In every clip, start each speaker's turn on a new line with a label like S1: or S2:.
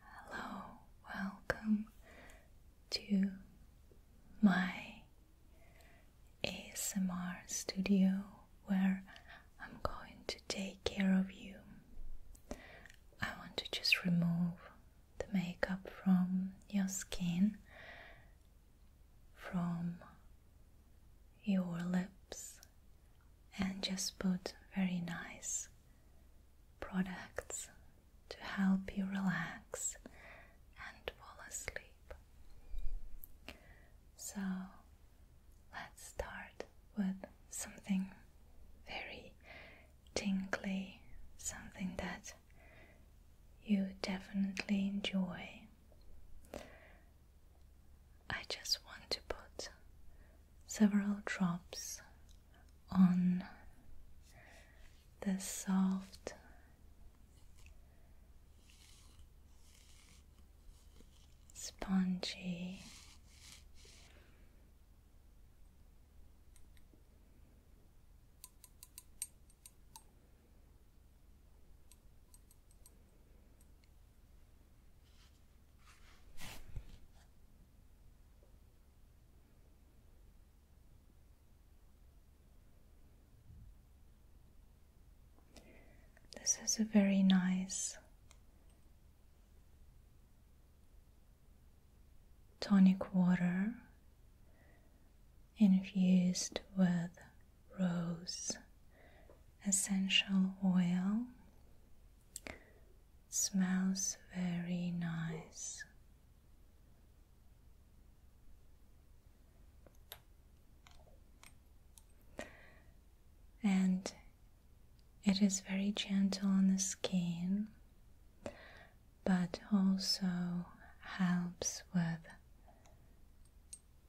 S1: Hello, welcome to my ASMR studio where I'm going to take care of you. I want to just remove the makeup from your skin, from your lips, and just put very nice products to help you relax and fall asleep. So let's start with something very tinkly, something that you definitely enjoy. I just want to put several drops on the soft spongy this is a very nice tonic water infused with rose essential oil Smells very nice. And it is very gentle on the skin, but also helps with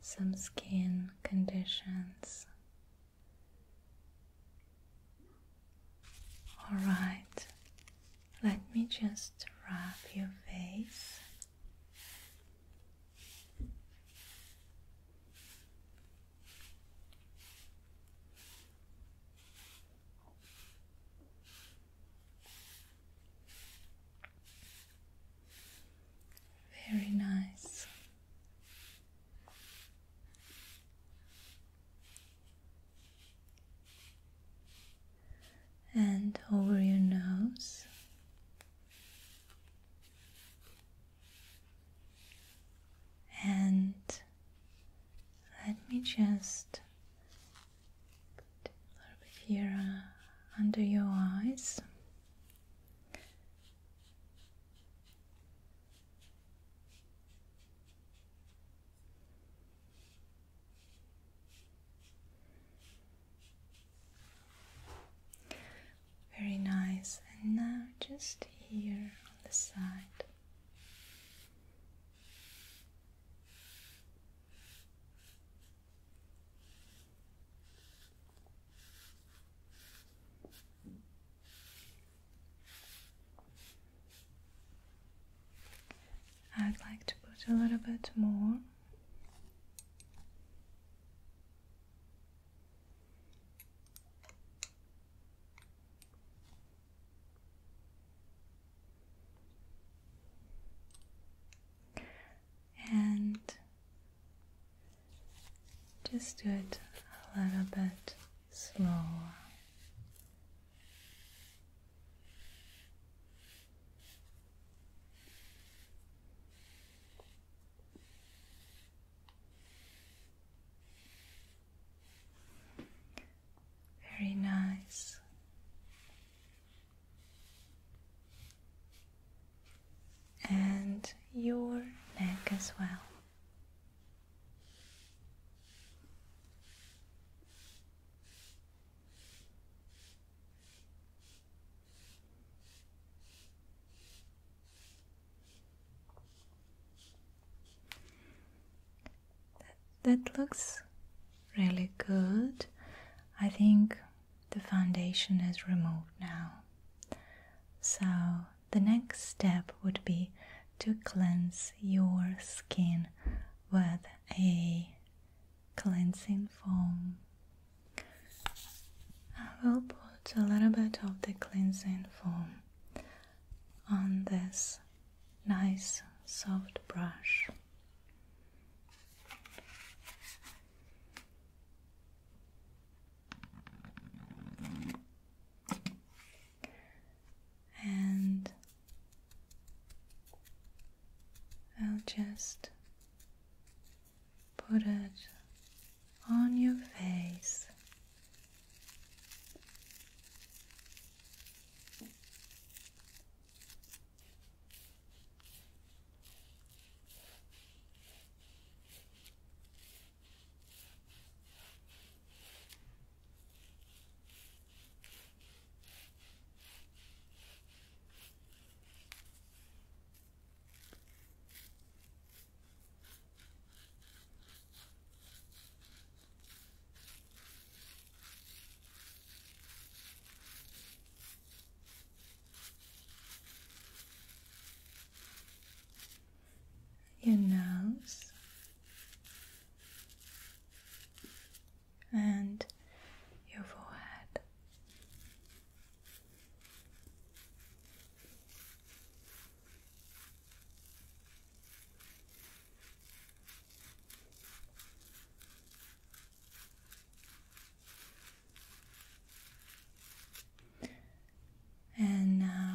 S1: some skin conditions Alright, let me just wrap your face. Very nice and over your nose. And let me just put a little bit here uh, under your eyes. Very nice, and now just here on the side. I'd like to put a little bit more. And just do it a little bit slower. Very nice. And your neck as well. That, looks really good. I think the foundation is removed now. So the next step would be to cleanse your skin with a cleansing foam. I will put a little bit of the cleansing foam on this nice soft brush and I'll just put it on your face. Your nose and your forehead. And now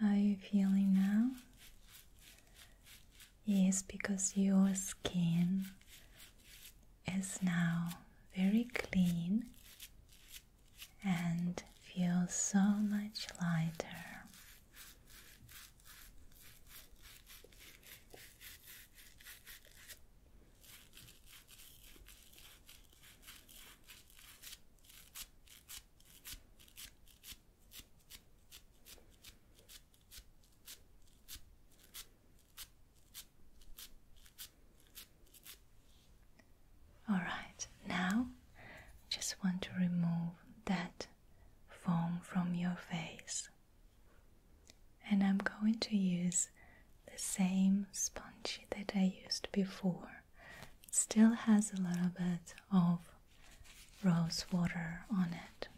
S1: How are you feeling now? Yes, because your skin is now very clean and feels so much lighter. All right, now I just want to remove that foam from your face. And I'm going to use the same sponge that I used before. It still has a little bit of rose water on it.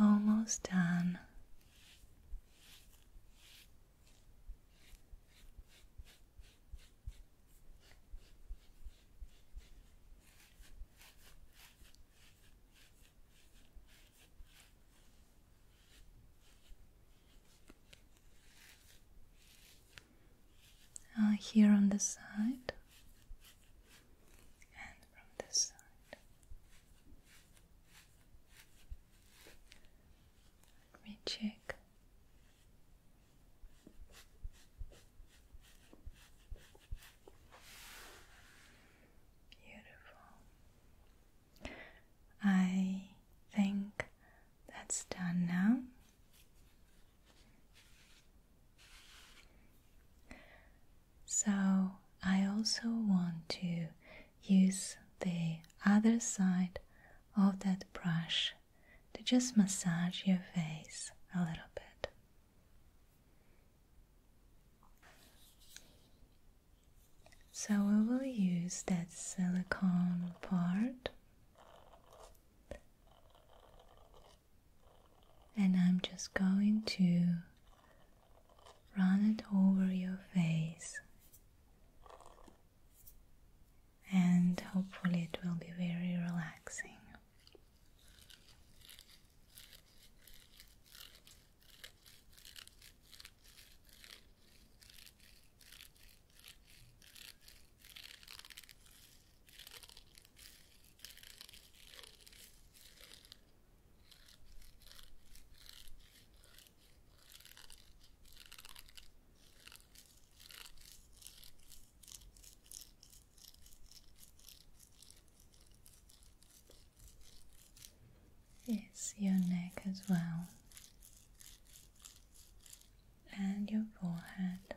S1: Almost done. Uh, here on the side and from this side. Let me check. Beautiful. I think that's done now. So I also want to use the other side of that brush to just massage your face a little bit. So we will use that silicone part. And I'm just going to run it over your face, and hopefully, it will be very relaxing. It's your neck as well, and your forehead.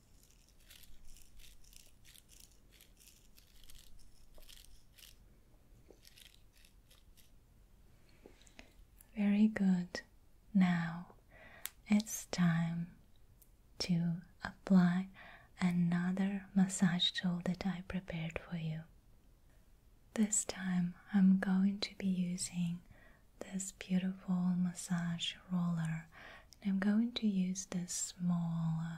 S1: Very good. Now it's time to apply another massage tool that I prepared for you. This time I'm going to be using this beautiful massage roller and I'm going to use this small uh,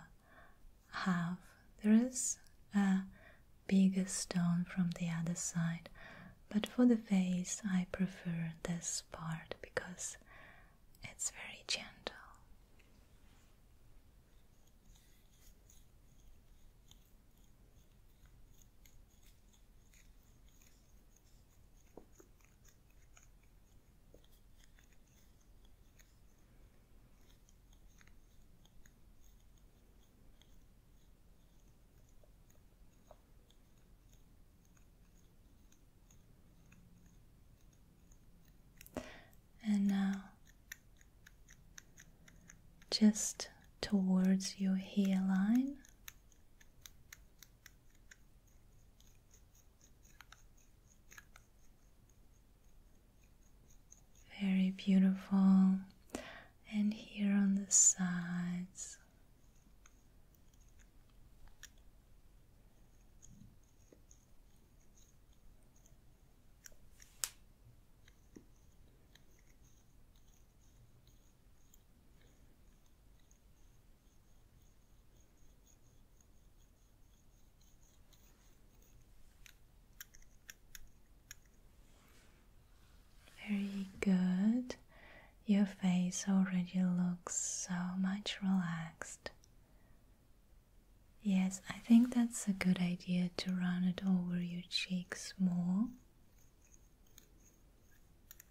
S1: half. There is a bigger stone from the other side, but for the face I prefer this part because it's very gentle. And now, just towards your hairline, very beautiful, and here on the sides. Very good. Your face already looks so much relaxed. Yes, I think that's a good idea to run it over your cheeks more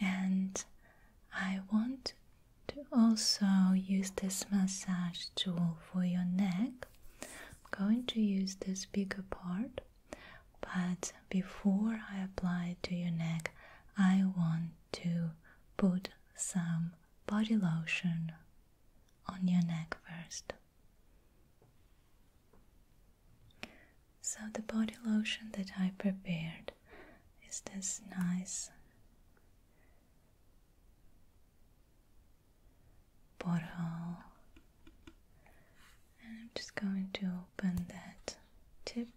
S1: And I want to also use this massage tool for your neck. I'm going to use this bigger part, but before I apply it to your neck, I want to put some body lotion on your neck first. So, the body lotion that I prepared is this nice bottle, and I'm just going to open that tip.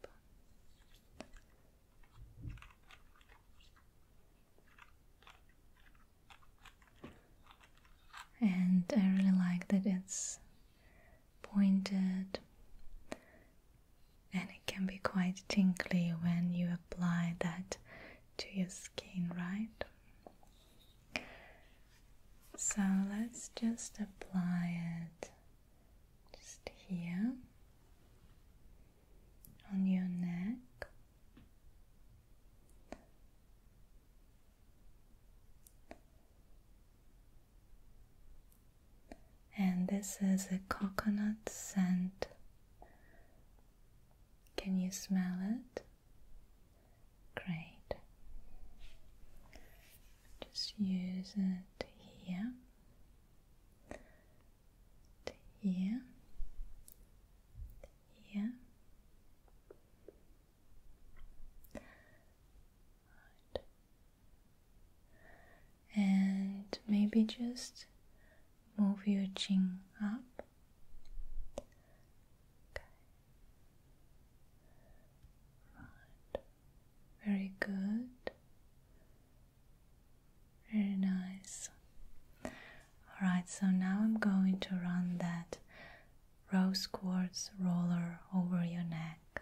S1: And I really like that it's pointed and it can be quite tinkly when you apply that to your skin, right? So let's just apply it just here on your neck. And this is a coconut scent. Can you smell it? Great. Just use it here, here, here and maybe just move your chin up. Okay. Right. Very good. Very nice. Alright, so now I'm going to run that rose quartz roller over your neck.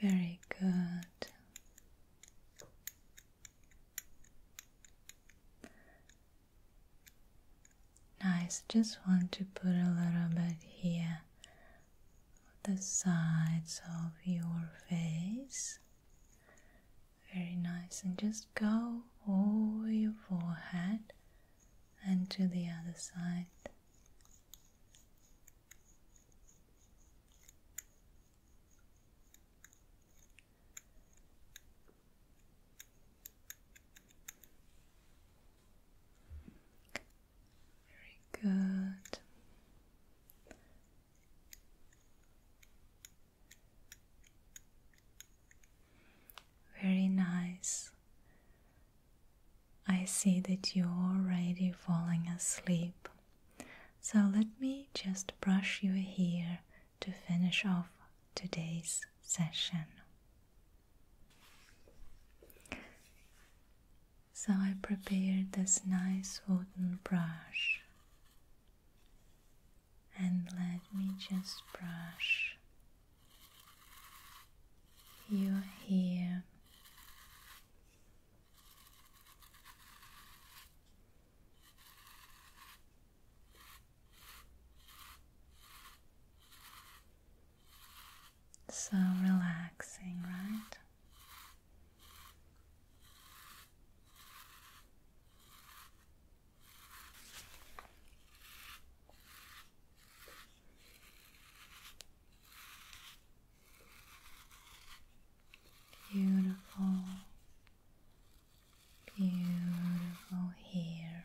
S1: Very good. Nice. Just want to put a little bit here, the sides of your face. Very nice. And just go over your forehead and to the other side. Very good. Very nice. I see that you're already falling asleep. So let me just brush your hair to finish off today's session. So I prepared this nice wooden brush. And let me just brush you are here. So relaxing, right? Beautiful, beautiful hair.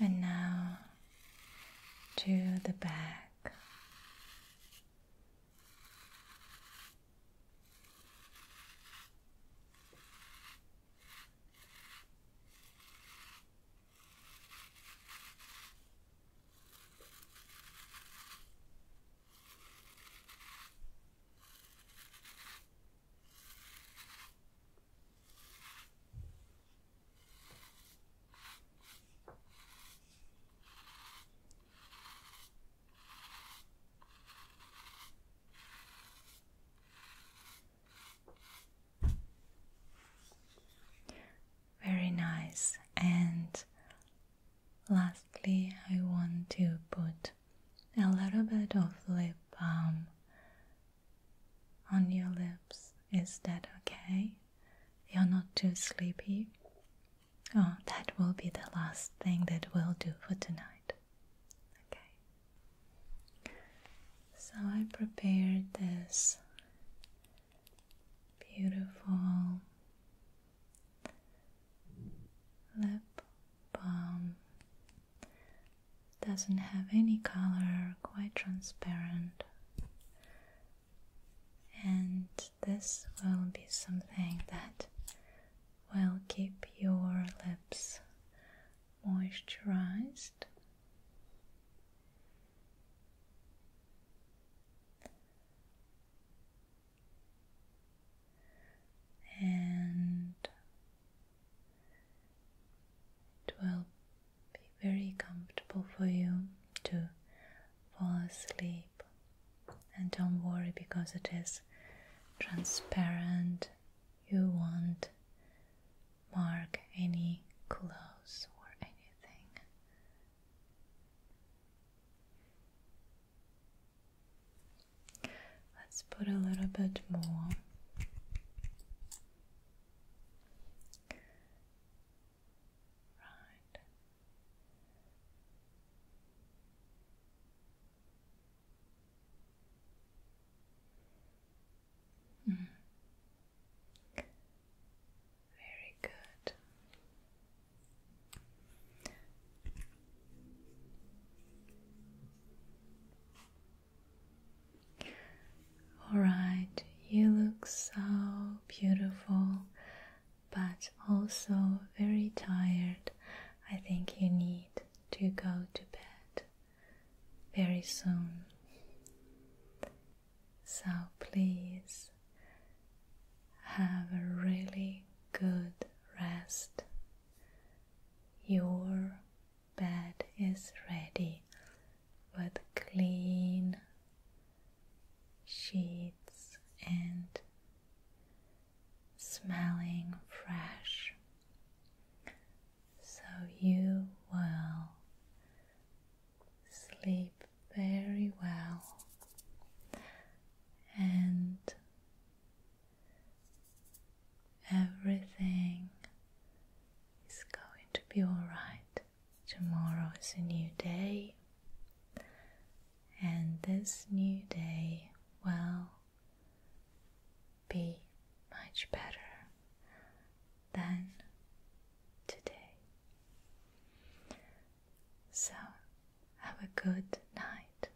S1: And now to the back. Very nice. And lastly, I want to put a little bit of lip balm on your lips. Is that okay? You're not too sleepy? Oh, that will be the last thing that we'll do for tonight. Okay. So I prepared this beautiful lip balm doesn't have any color, quite transparent. And this will be something that will keep your lips moisturized. And it will be very comfortable for you to fall asleep, and don't worry because it is transparent. You won't mark any clothes or anything. Let's put a little bit more. Right. Mm. Very good. Alright, you look so beautiful, but also very tired. I think you need to go to bed very soon. So please have a really good rest. Your bed is ready with clean sheets and smelling fresh. So you will sleep very well and Everything is going to be alright. Tomorrow is a new day, and this new day will be much better than today. So, have a good night.